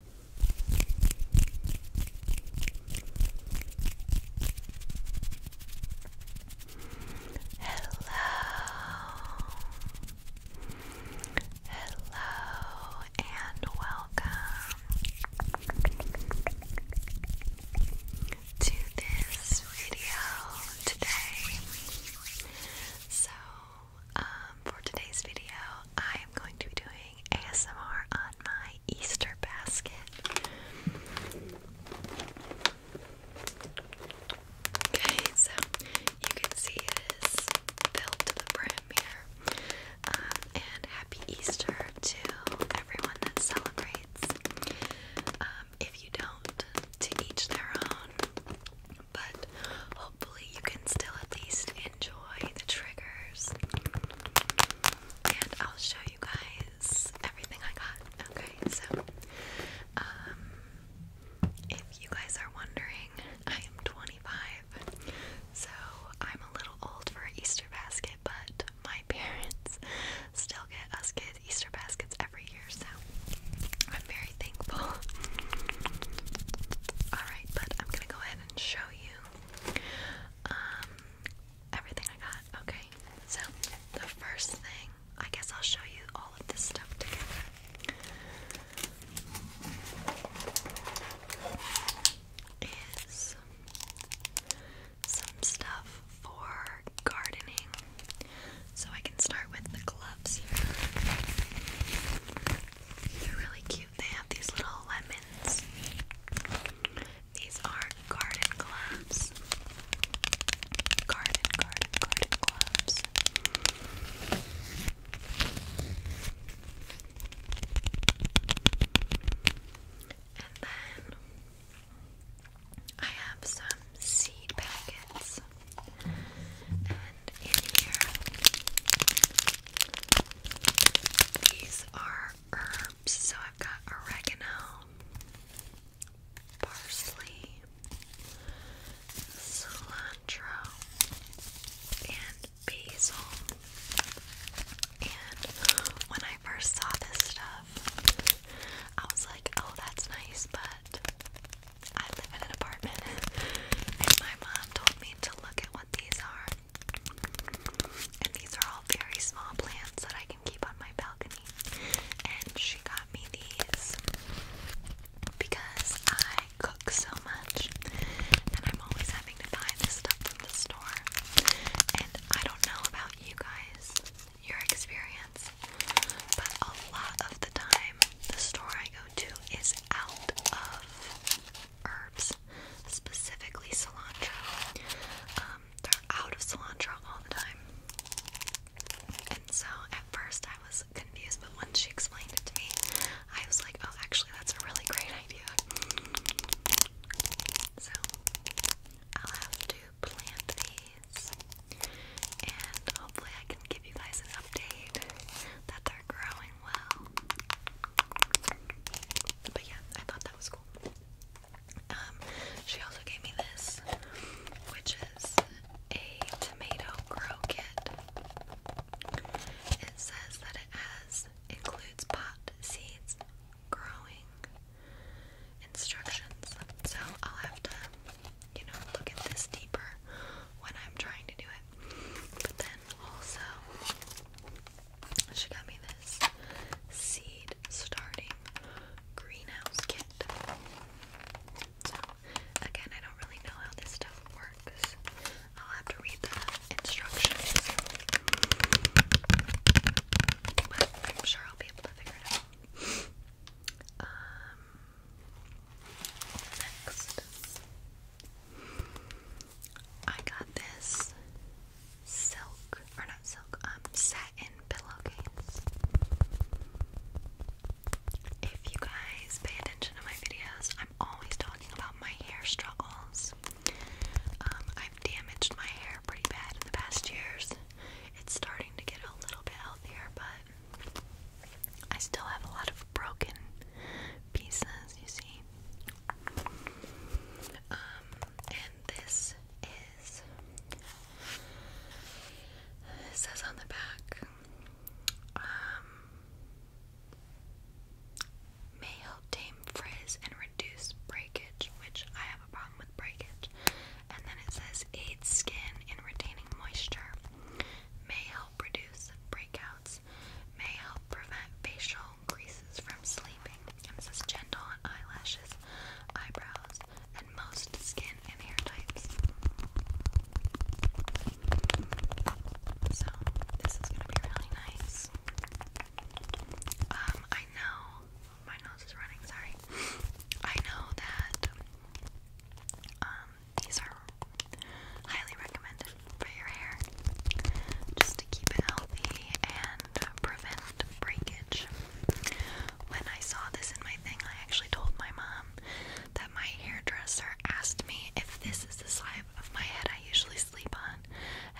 Hello, hello, and welcome to this video today. So, um, for today's video, I am going to be doing ASMR on my Easter basket. Okay, so you can see it is filled to the brim here. Um, and happy Easter to everyone that celebrates. Um, if you don't, to each their own. But hopefully, you can still at least enjoy the triggers. And I'll show you guys everything I got. Okay, so um if you guys are wondering, I am 25. So I'm a little old for Easter basket, but my parents still get us kids Easter baskets every year, so I'm very thankful. Alright, but I'm gonna go ahead and show you um, everything I got. Okay, so the first thing, I guess I'll show you all of this stuff Is some stuff for gardening. So I can start with the gloves They're really cute they have these little lemons. These are garden gloves. Garden, garden, garden gloves. And then I have some seed packets in here. These are herbs, so I've got oregano, parsley, cilantro, and basil. And when I first saw this stuff, I was like, oh, that's nice, but I live in an apartment. And my mom told me to look at what these are, and these are all very small plants that I can keep on my balcony. And she got me these because I cook so much and I'm always having to buy this stuff from the store. And I don't know about you guys, your experience, but a lot of the time the store I go to is out of herbs specifically cilantro. Um, they're out of cilantro all the time. And so at first I was confused, but once she explained it to me, I was like, oh, actually, that's a really great idea. So I'll have to plant these, and hopefully, I can give you guys an update that they're growing well. But yeah, I thought that was cool. Um, she also gave me this, which is a tomato grow kit. It says that it has includes pot seeds, growing instructions. So I'll have to, you know, look at this deeper when I'm trying to do it. But then also, she got me this seed starting greenhouse kit. So, again, I don't really know how this stuff works. I'll have to read the instructions. But I'm sure I'll be able to figure it out. Um, next. I got this silk, or not silk, um, satin pillowcase. If you guys pay attention to my videos, I'm always talking about my hair struggles. Um, I've damaged my hair pretty bad in the past years. It's starting to get a little bit healthier, but I still have a lot of broken pieces, you see. Um, and this is it says on the back, um, may help tame frizz and reduce breakage, which I have a problem with breakage. And then it says aids skin in retaining moisture, may help reduce breakouts may help prevent facial creases from sleeping, and this gentle on eyelashes, eyebrows, and most skin and hair types. So, this is going to be really nice. Um, I know, my nose is running, sorry. I know that, um, these are highly recommended for your hair just to keep it healthy and prevent breakage. When I saw this in my thing, I actually told my mom that my hairdresser asked me if this is the side of my head I usually sleep on,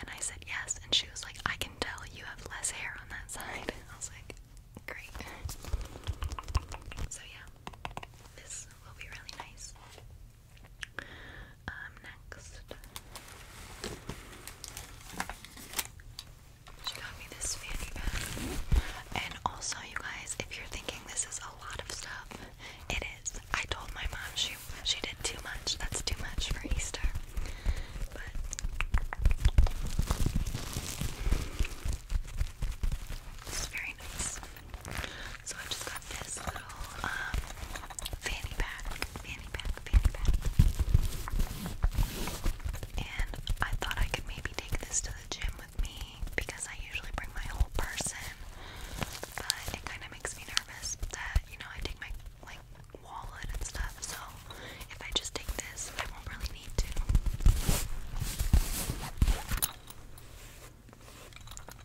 and I said yes, and she was like, I can tell you have less hair on that side. I was like, great. So, yeah, this will be really nice. Um, next, she got me this fanny bag. And also, you guys, if you're thinking this is a lot of stuff, it is. I told my mom she she did too much. That's too much for Easter. But it's very nice. So I just got this little um, fanny pack, fanny pack, fanny pack. And I thought I could maybe take this to the gym with me because I usually bring my whole person. But it kind of makes me nervous that, you know, I take my like wallet and stuff. So if I just take this, I won't really need to.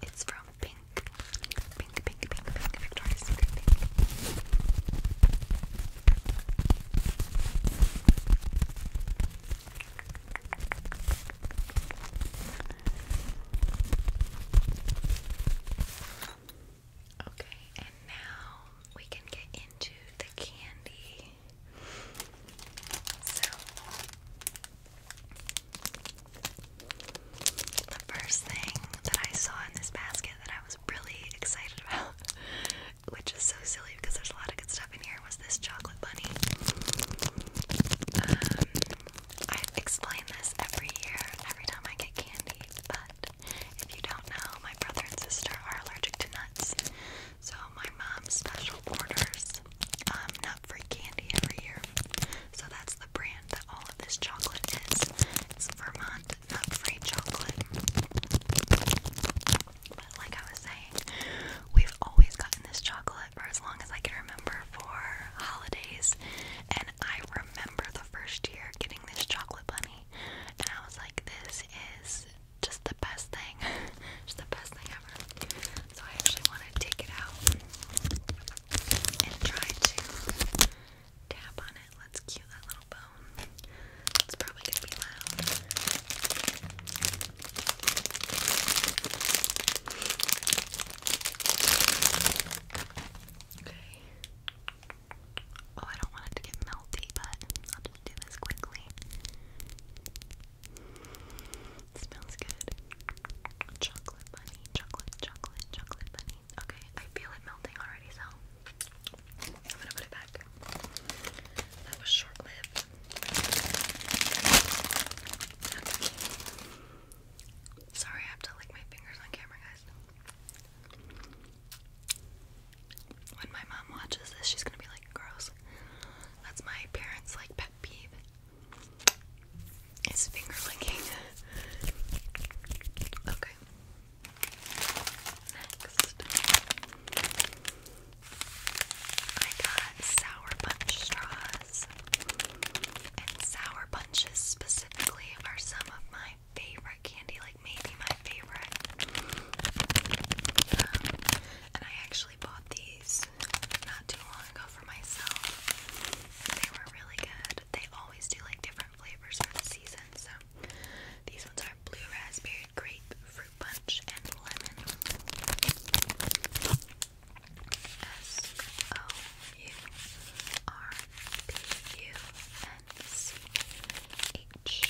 It's from Pink. Pink, pink, pink, pink, Victoria's Secret Pink. Okay, and now we can get into the candy. So the first thing that I saw in this basket that I was really excited about, which is so silly because there's a lot of good stuff in here, was this chocolate bunny. Um, I explain this every year, every time I get candy, but if you don't know, my brother and sister are allergic to nuts. So my mom special orders this, um, Nut Free Candy every year. So that's the brand that all of this chocolate is. It's Vermont Nut Free Chocolate. But like I was saying, we've always gotten this chocolate for as long as I can remember for holidays. And I remember the first year getting this chocolate bunny. And I was like, this is just the best thing. just the best thing ever. So I actually want to take it out and try to tap on it. Let's cue that little bone. It's probably going to be loud. Okay. Oh, I don't want it to get melty, but I'll just do this quickly smells good. Chocolate bunny, chocolate, chocolate, chocolate bunny. Okay, I feel it melting already, so I'm gonna put it back. That was short lived. Sorry, I have to lick my fingers on camera, guys. When my mom watches this, she's gonna be like, gross. That's my parents' like pet peeve. It's finger licking. Okay. Next, I got sour punch straws, and sour punches specifically are some of my favorite candy, like maybe my favorite. Um, and I actually bought these not too long ago for myself. They were really good. They always do like different flavors for the season. So these ones are blue raspberry, grape, fruit punch, and lemon. S O U R P U N C H.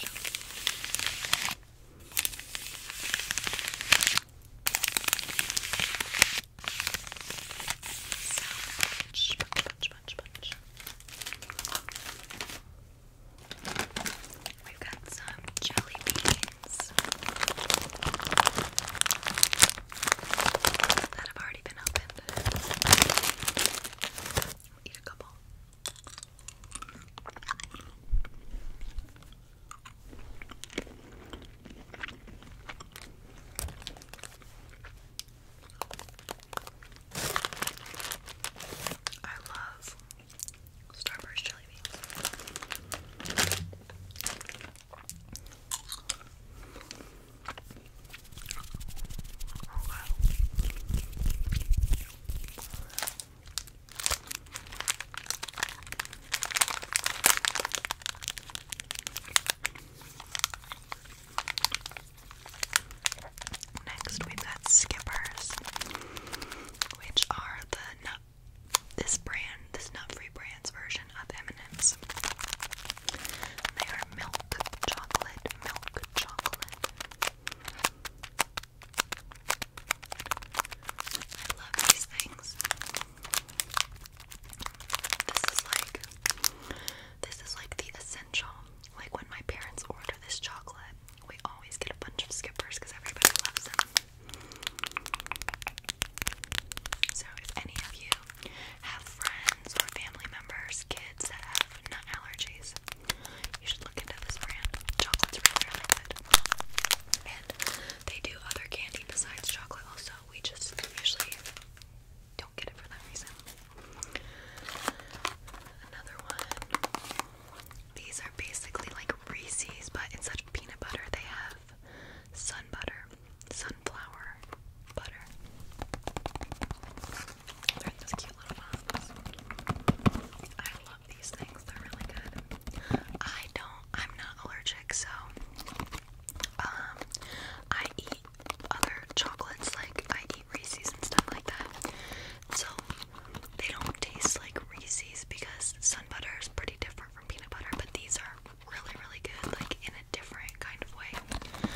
We've got some jelly beans that have already been opened. eat a couple. I love Starburst jelly beans. Next, we've got Skippers, which are the nut, this brand, this nut-free brand's version of M&M's. They are milk chocolate, milk chocolate. I love these things. This is like this is like the essential. Like when my parents order this chocolate, we always get a bunch of skippers because everybody loves them. So if any of you have friends or family members, kids that have nut allergies, you should look into this brand. Chocolate's really, really good they do other candy besides chocolate also. We just usually don't get it for that reason. Another one. These are basically like Reese's, but instead of peanut butter, they have sun butter, sunflower butter. They're in this cute little box. I love these things. They're really good. I don't. I'm not allergic, so um, I eat other chocolates. Like I eat Reese's and stuff like that. So they don't taste like Reese's because sun butter is pretty different from peanut butter. But these are really, really good. Like in a different kind of way.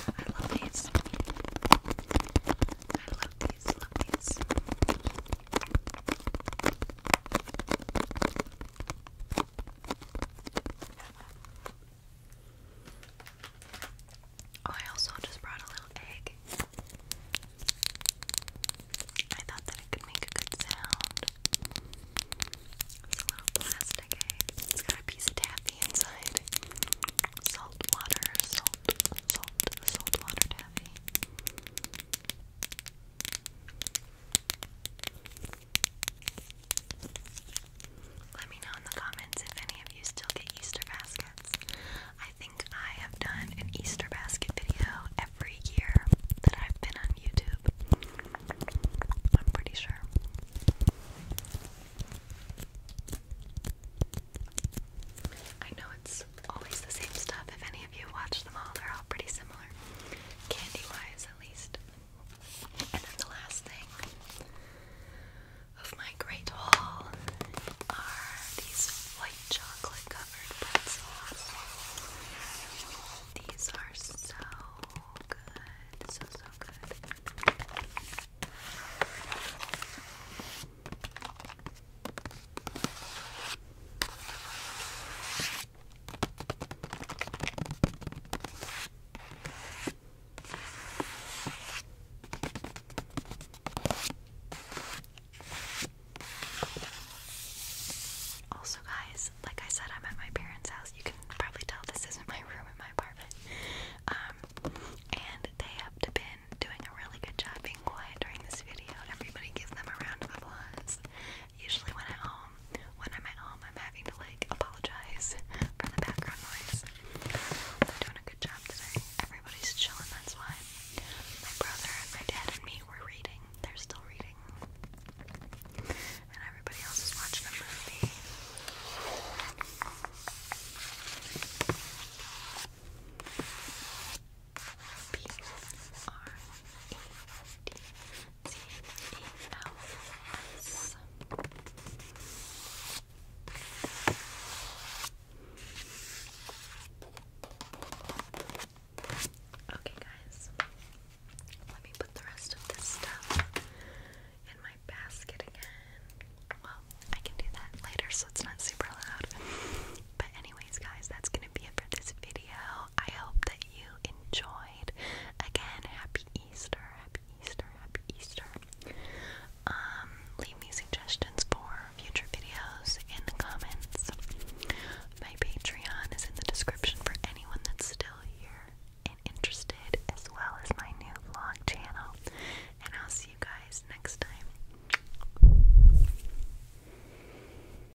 I love these. I Love these. Oh, I also just brought a little egg. I thought that it could make a good sound. It's a little plastic egg. It's got a piece of taffy inside. Salt water, salt, salt, salt water taffy. Let me know in the comments if any of you still get Easter baskets. I think I have done an Easter basket video every year that I've been on YouTube. I'm pretty sure. I know it's always the same stuff. If if you watch them all, they're all pretty similar, candy wise at least. And then the last thing of my great haul are these white chocolate covered pretzels. These are so good, so so good. Also, guys, like I said, I'm at my parents' house. You can probably tell this isn't my room in my apartment. Um, and they have been doing a really good job being quiet during this video. Everybody give them a round of applause usually when I'm home, when I'm at home, I'm having to like apologize for the background noise. They're doing a good job today. Everybody's chilling, that's why. My brother, my dad, and me were reading. They're still reading. And everybody else is watching a movie. B R E D T E L S. Okay, guys, let me put the rest of this stuff in my basket again. Well, I can do that later so it's not super loud. But, anyways, guys, that's gonna be it for this video. I hope that you enjoyed. Again, happy Easter, happy Easter, happy Easter. Um, leave me suggestions for future videos in the comments. My Patreon is in the description for anyone that's still here and interested, as well as my new vlog channel. And I'll see you guys next time.